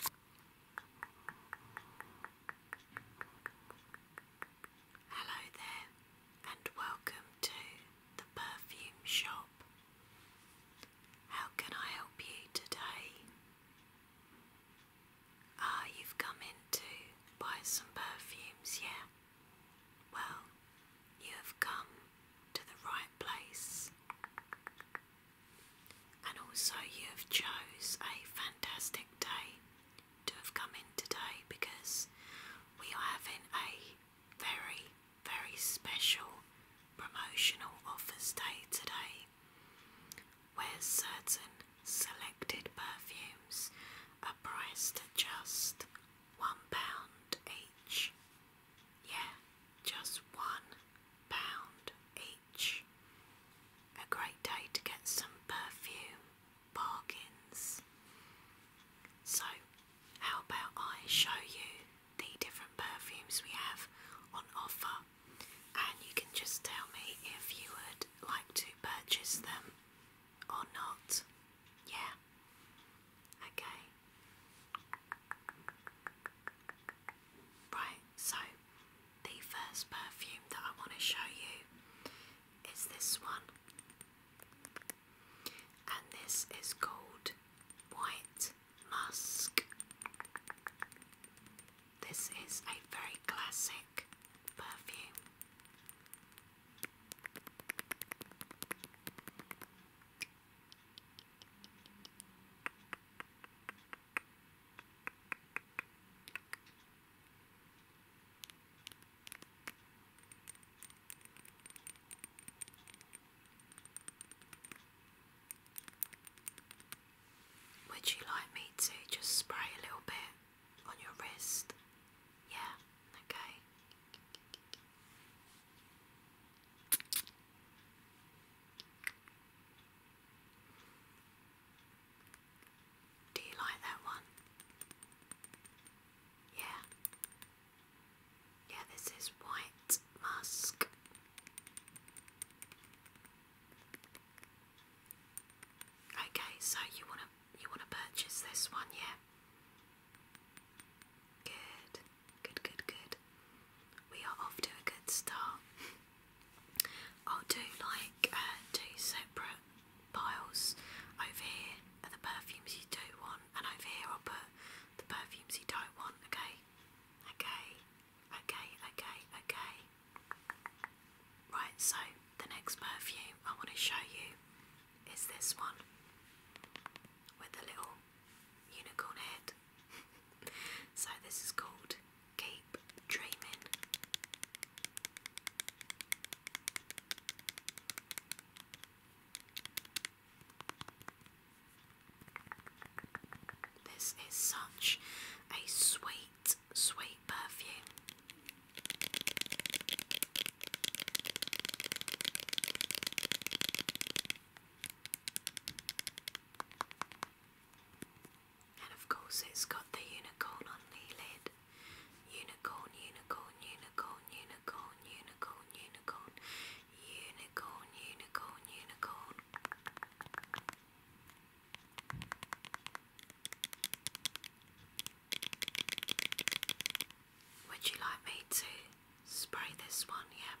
Hello there, and welcome to the perfume shop. How can I help you today? Ah, you've come in to buy some perfumes, yeah? Well, you have come to the right place. And also, you have chose a fantastic day to have come in today because we are having a very, very special promotional offers day today where certain selected perfumes are priced at just one pound each. Yeah, just one pound each. A great day to get some perfume bargains. So, how about I show you the different perfumes we have on offer, and you can just tell me if you would like to purchase them or not? Yeah? Okay. Right, so the first perfume that I want to show you is this one, and this is called White Musk. This is a very classic perfume. Would you like me to just spray a little bit on your wrist? Yeah, okay. Do you like that one? Yeah. Yeah, this is white musk. Okay, so you wanna you wanna purchase this one, yeah? Good. Good, good, good. We are off to a good start. I'll do like uh, two separate piles. Over here are the perfumes you do want, and over here I'll put the perfumes you don't want, okay? Okay, okay, okay, okay. Right, so the next perfume I want to show you is this one with a little unicorn head. so this is called Keep Dreaming. This is such a sweet, sweet perfume. And of course, it's got the unicorn on the lid. Unicorn, unicorn, unicorn, unicorn, unicorn, unicorn, unicorn, unicorn, unicorn. Would you like me to spray this one? Yeah.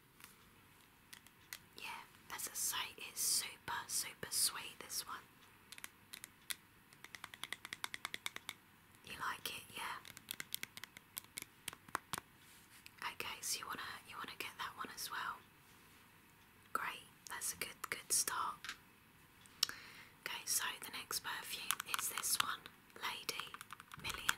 Yeah, as a sight, it's super, super sweet. This one. You like it, yeah? Okay, so you wanna you wanna get that one as well. Great, that's a good good start. Okay, so the next perfume is this one, Lady Million.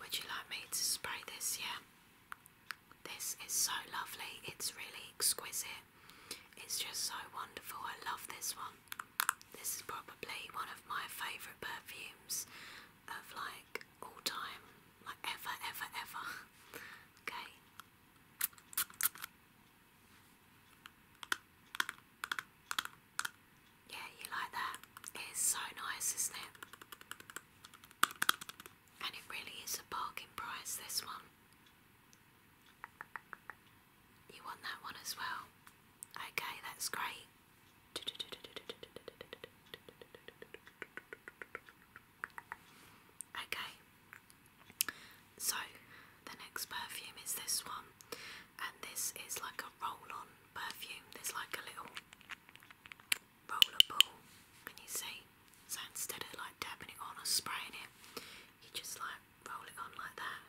Would you like me to spray this? Yeah, this is so lovely, it's really exquisite, it's just so wonderful. I love this one. This is probably one of my favourite perfumes of like all time, like ever, ever, ever. okay, yeah, you like that? It's so nice, isn't it? And it really is a bargain price, this one. You want that one as well? Okay, that's great. Okay, so the next perfume is this one, and this is like a roll-on perfume. There's like a little roller ball. Can you see? So instead of like dabbing it on or spraying it, you just like roll it on like that.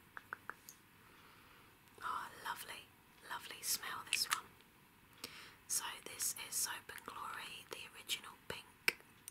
Oh, lovely, lovely smell this one. So this is Soap and Glory, the original pink.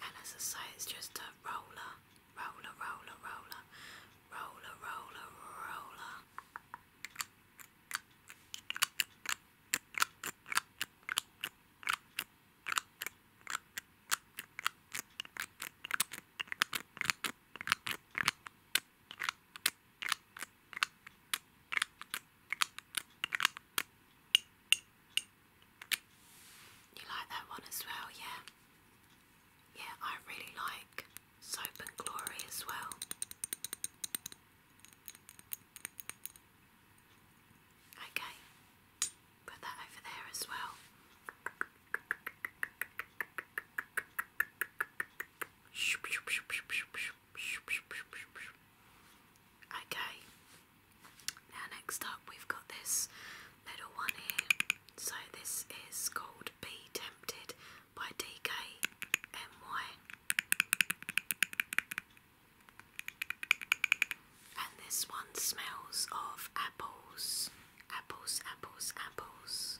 And as I say, it's just a roller, roller, roller, roller, roller, roller, roller. You like that one as well, yeah? Yeah, I really like Soap and Glory as well. Okay, put that over there as well. Okay, now next up we've got this middle one here. So this is called Be Tempted by DKMY. And this one smells of apples. Apples, apples, apples.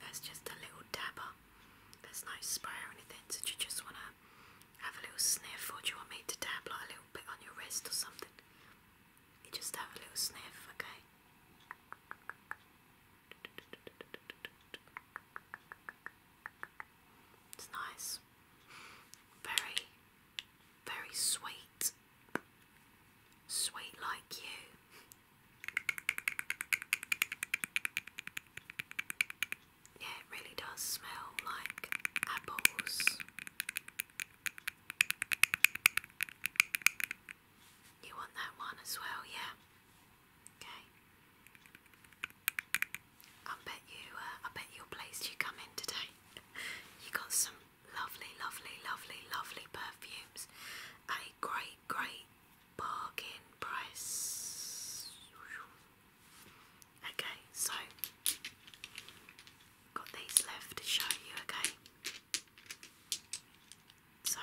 That's just a little dabber. There's no spray or anything. So you just want to have a little sniff, or do you want me to dab like a little bit on your wrist or something? You just have a little sniff, okay? It's nice. Very, very sweet. Sweet like you. Yeah, it really does smell like apples. You want that one as well, yeah? Okay. I bet you, uh, I bet you're you come in today. you got some lovely, lovely, lovely, lovely perfumes. A great great bargain price. Okay, so got these left to show you, okay? So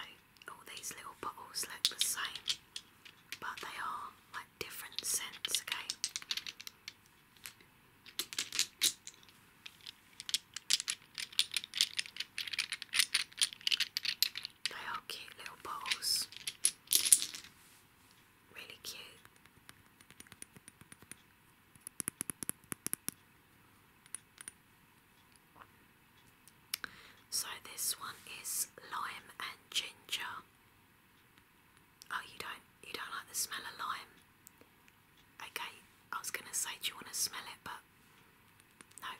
all these little bottles look the same, but they are like different scents, okay? They are cute little bottles. Really cute. So this one is lime and ginger. Oh, you don't you don't like the smell of lime? Okay, I was gonna say, do you want to smell it? But no,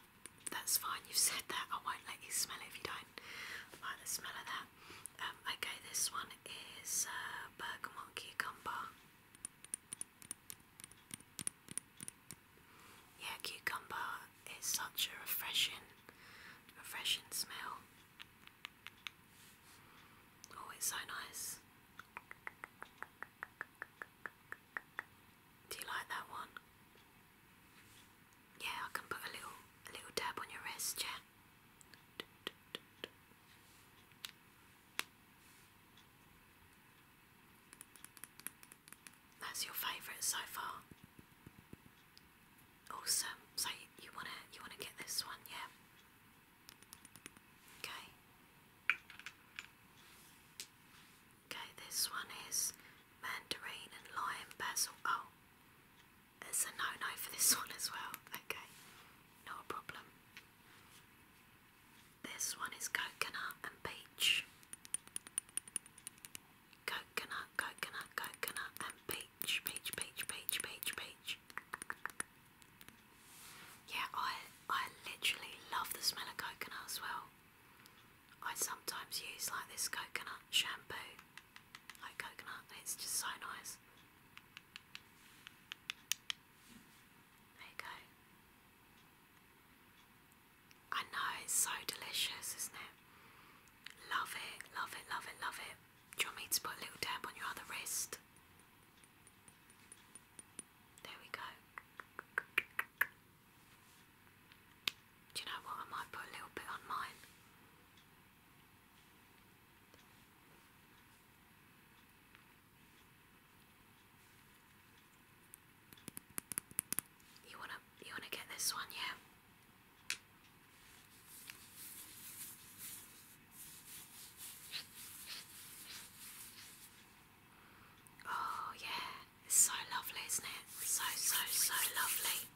that's fine. You've said that. I won't let you smell it if you don't like the smell of that. Um, okay, this one is uh, bergamot cucumber. Yeah, cucumber is such a refreshing, refreshing smell. Oh, it's so nice. Do you like that one? Yeah, I can put a little a little dab on your wrist, yeah. That's your favourite so far. Awesome. So you wanna you wanna get this one, yeah? Okay. Okay, this one is mandarin and lime basil. Oh, it's a no no for this one as well. Okay, not problem. This one is coconut and peach. Coconut, coconut, coconut, and peach, peach, peach, peach, peach, peach. Yeah, I I literally love the smell of coconut as well. I sometimes use like this coconut shampoo. Like coconut, it's just so nice. There you go. I know it's so delicious, isn't it? Love it, love it, love it, love it. you want me to put a little dab on your other wrist? There we go. Do you know what? I might put a little bit on mine. You wanna you wanna get this one, yeah? Oh, yeah, it's so lovely, isn't it? So, so, so lovely.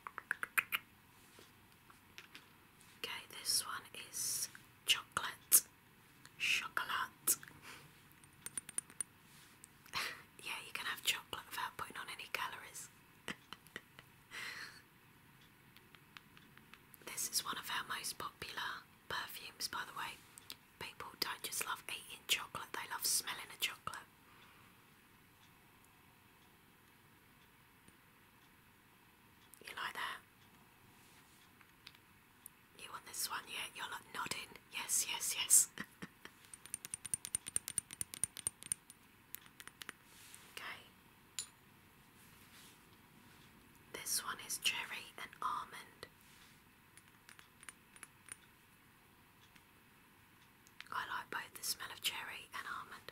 Okay, this one is chocolate. Chocolate. yeah, you can have chocolate without putting on any calories. this is one of our most popular Perfumes, by the way, people don't just love eating chocolate, they love smelling a chocolate. You like that? You want this one? Yeah, you're like nodding. Yes, yes, yes. okay. This one is cherry and almond. I like both the smell of cherry and almond.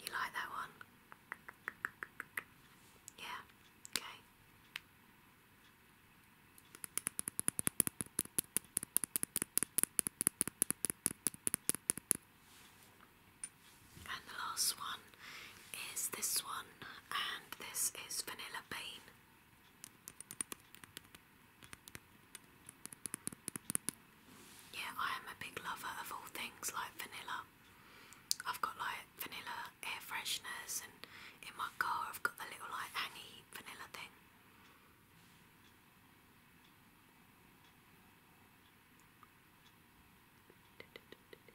You like that one? Yeah, okay. And the last one is this one, and this is Vanilla Bean. Yeah, I am a big lover of all things like vanilla. I've got like vanilla air fresheners, and in my car I've got the little like hangy vanilla thing.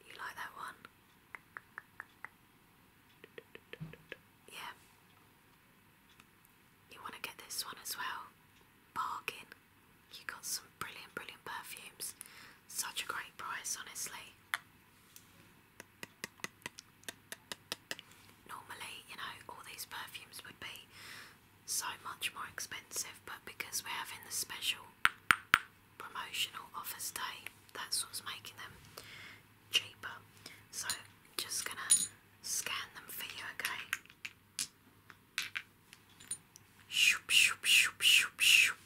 You like that one? Yeah. You want to get this one as well? Bargain. You got some brilliant, brilliant perfumes. Such a great price, honestly. Normally, you know, all these perfumes would be so much more expensive, but because we're having the special promotional offers day, that's what's making them cheaper. So, I'm just gonna scan them for you, okay? Shoop, shoop, shoop, shoop, shoop.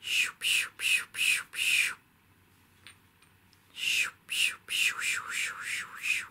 Shoop, shoop, shoop, shoop, shoop. Shoop, shoop, shoop, shoop, shoop, shoop, shoop.